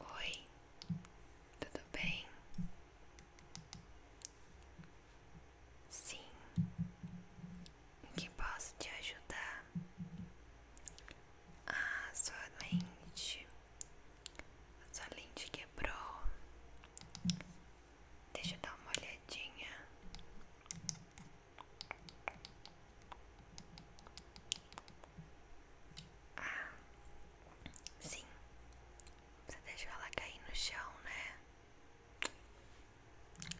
Oi, tudo bem? Sim, em que posso te ajudar? Ah, sua lente, sua lente quebrou. Deixa eu dar uma olhadinha. Ah, sim. Você deixa ela cair no chão, né?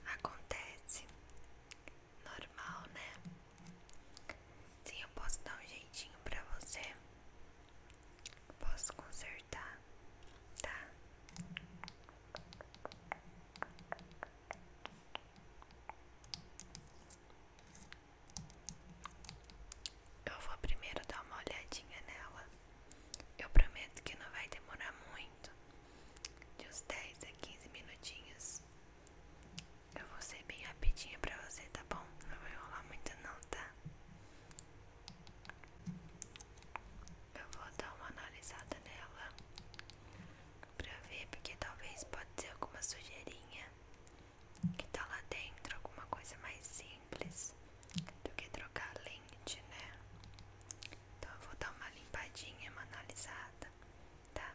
Acontece. Normal, né? Sim, eu posso dar um jeitinho pra você. posso consertar, tá? Eu vou primeiro dar uma olhadinha nela. Eu prometo que não vai demorar muito. De uns 10 a 15 minutinhos. Eu vou ser bem rapidinha pra você, tá bom? Não vai rolar muito não, tá? Eu vou dar uma analisada nela pra ver, porque talvez pode ser alguma sujeirinha que tá lá dentro, alguma coisa mais simples do que trocar lente, né? Então eu vou dar uma limpadinha, uma analisada, tá? Tá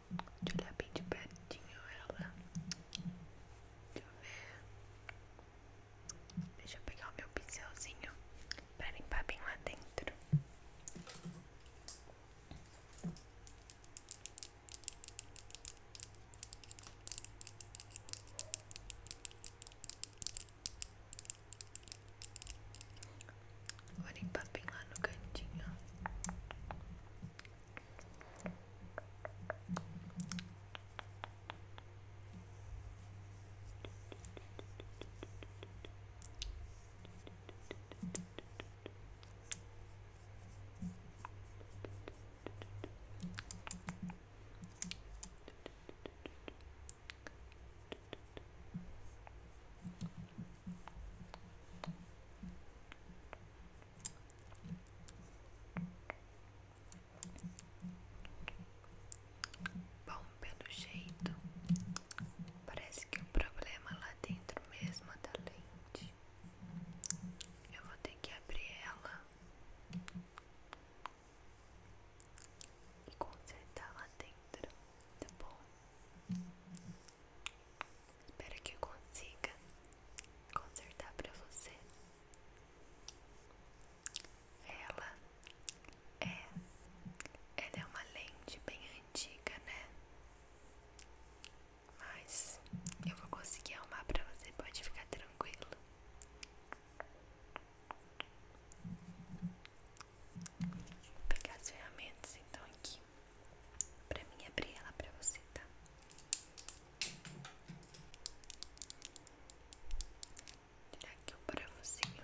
de olhar bem de pertinho ela. Deixa eu ver. Deixa eu pegar o meu pincelzinho para limpar bem lá dentro. Vou limpar bem lá no cantinho. Vou Bom, pelo jeito, parece que o problema lá dentro mesmo é da lente. Eu vou ter que abrir ela e consertar lá dentro, tá bom? Espero que eu consiga consertar para você. Ela é, ela é uma lente bem antiga, né? Mas eu vou conseguir arrumar para você, pode ficar tranquilo. Vou pegar as ferramentas então aqui pra mim abrir ela pra você, tá? Tirar aqui o parafusinho.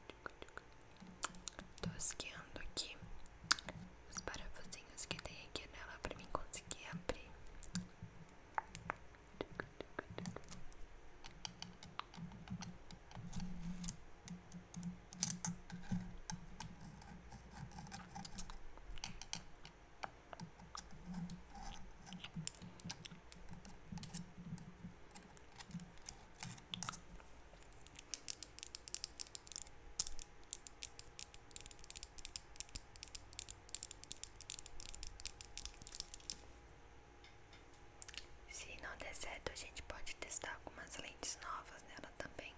tosqueando aqui os parafusinhos que tem aqui nela pra mim conseguir abrir. Se não der certo, a gente pode testar algumas lentes novas nela também,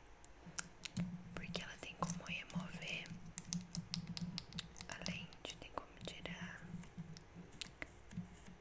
porque ela tem como remover a lente, tem como tirar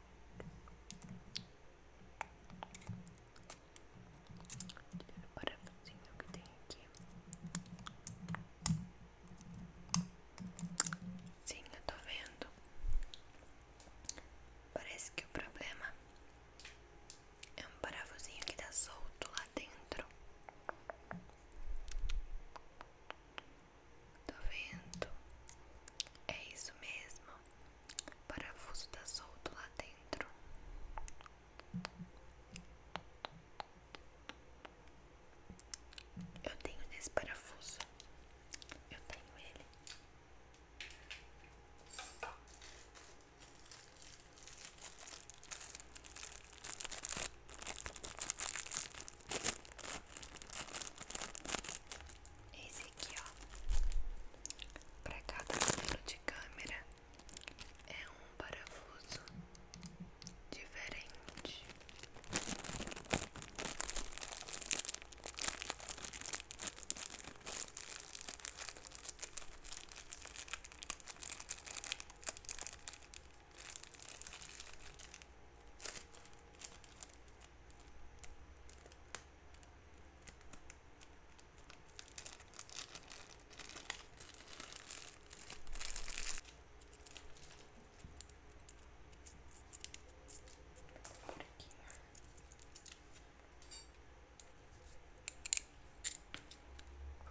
Tirar o parafusinho que tem aqui. Sim, eu tô vendo. Parece que o problema é um parafusinho que tá solto lá dentro. Tô vendo. É isso mesmo. O parafuso tá solto lá dentro. Eu tenho nesse parafuso. Eu tenho ele. Esse aqui, ó. Para cada número de câmera é um parafuso diferente.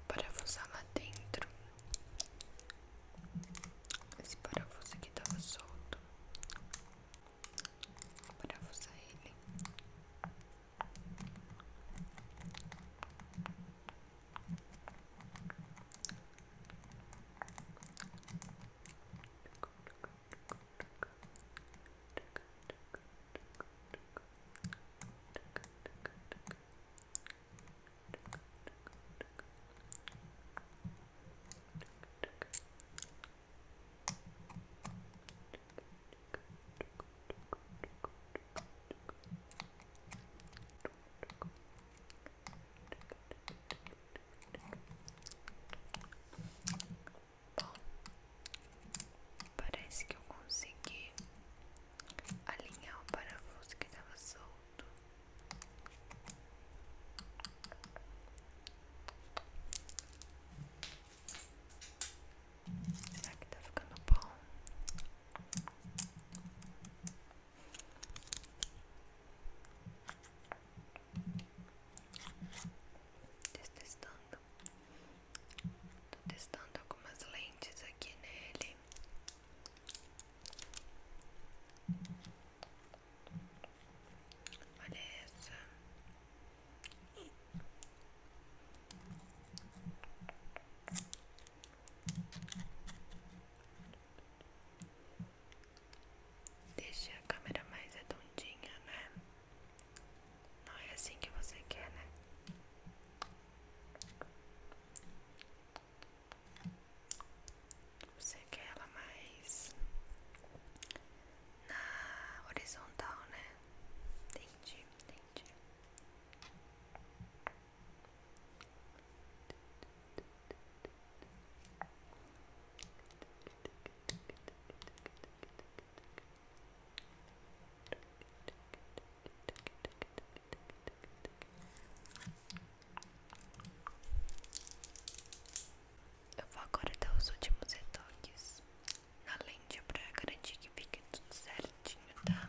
Por aqui. Vou lá dentro esse parafuso aqui estava solto. Vou parafusar é ele. Bom, parece que eu consegui alinhar o parafuso que estava solto. Será que tá ficando bom? Testando, tô testando algumas lentes aqui nele. Olha essa. Deixa a câmera mais redondinha, né? Não é assim que você quer, né? Você quer ela mais na horizontal, né? Entendi, entendi. Eu vou agora dar os últimos retoques na lente pra garantir que fique tudo certinho, tá?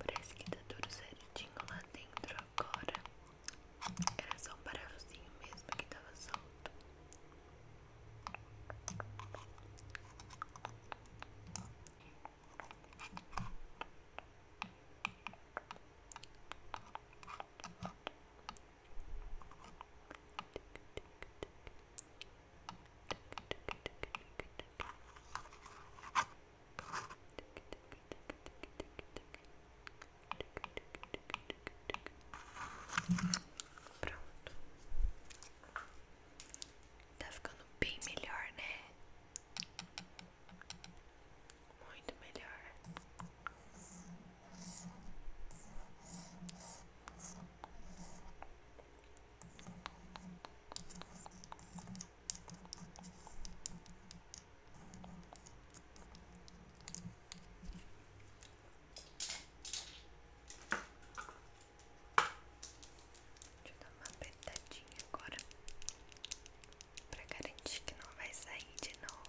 Parece que tá tudo certinho lá dentro agora. Era só um parafusinho mesmo que tava solto. Pronto. Tá ficando bem melhor, né? Muito melhor. Deixa eu dar uma apertadinha agora para garantir que não vai sair de novo.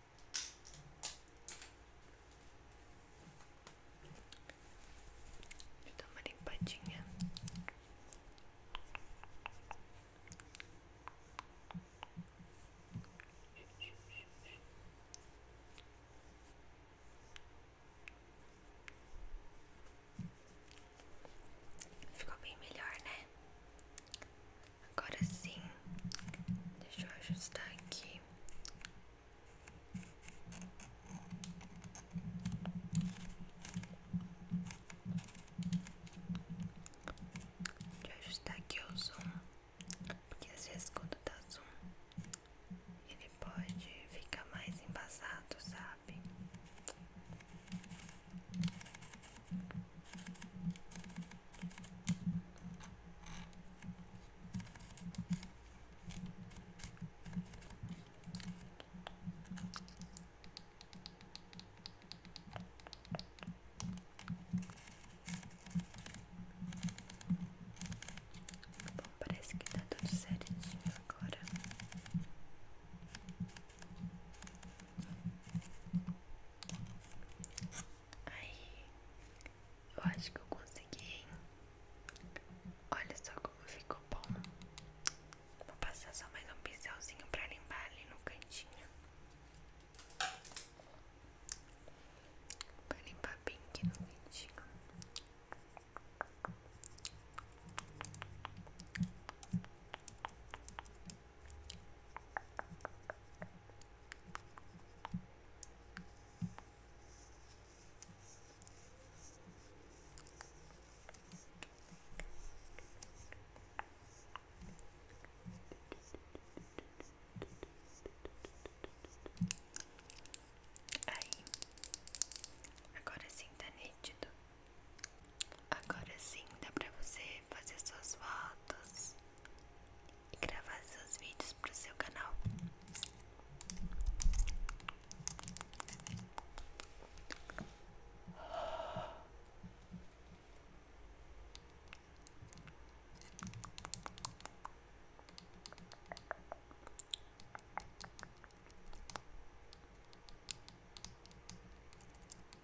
Vou uma limpadinha. Ficou bem melhor, né? Agora sim, deixa eu ajustar aqui. Deixa eu ajustar aqui o zoom, porque às vezes quando dá zoom, ele pode ficar mais embasado, sabe? Bom, parece que tá tudo certinho agora. Aí, eu acho que eu consegui, hein? Olha só como ficou bom. Vou passar só mais um pincelzinho pra limpar ali no cantinho. Pra limpar bem aqui no cantinho. Aí, agora sim tá nítido. Agora sim dá para você fazer suas fotos e gravar seus vídeos para o seu canal.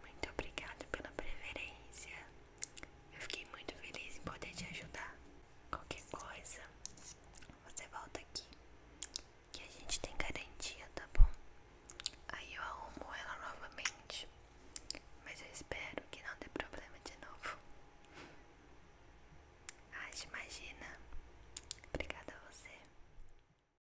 Muito obrigado pela preferência. Eu fiquei muito feliz em poder te ajudar. Qualquer coisa, você volta aqui. Que a gente tem garantia, tá bom? Aí eu arrumo ela novamente. Mas eu espero que não dê problema de novo. Ah, imagina. Obrigada a você.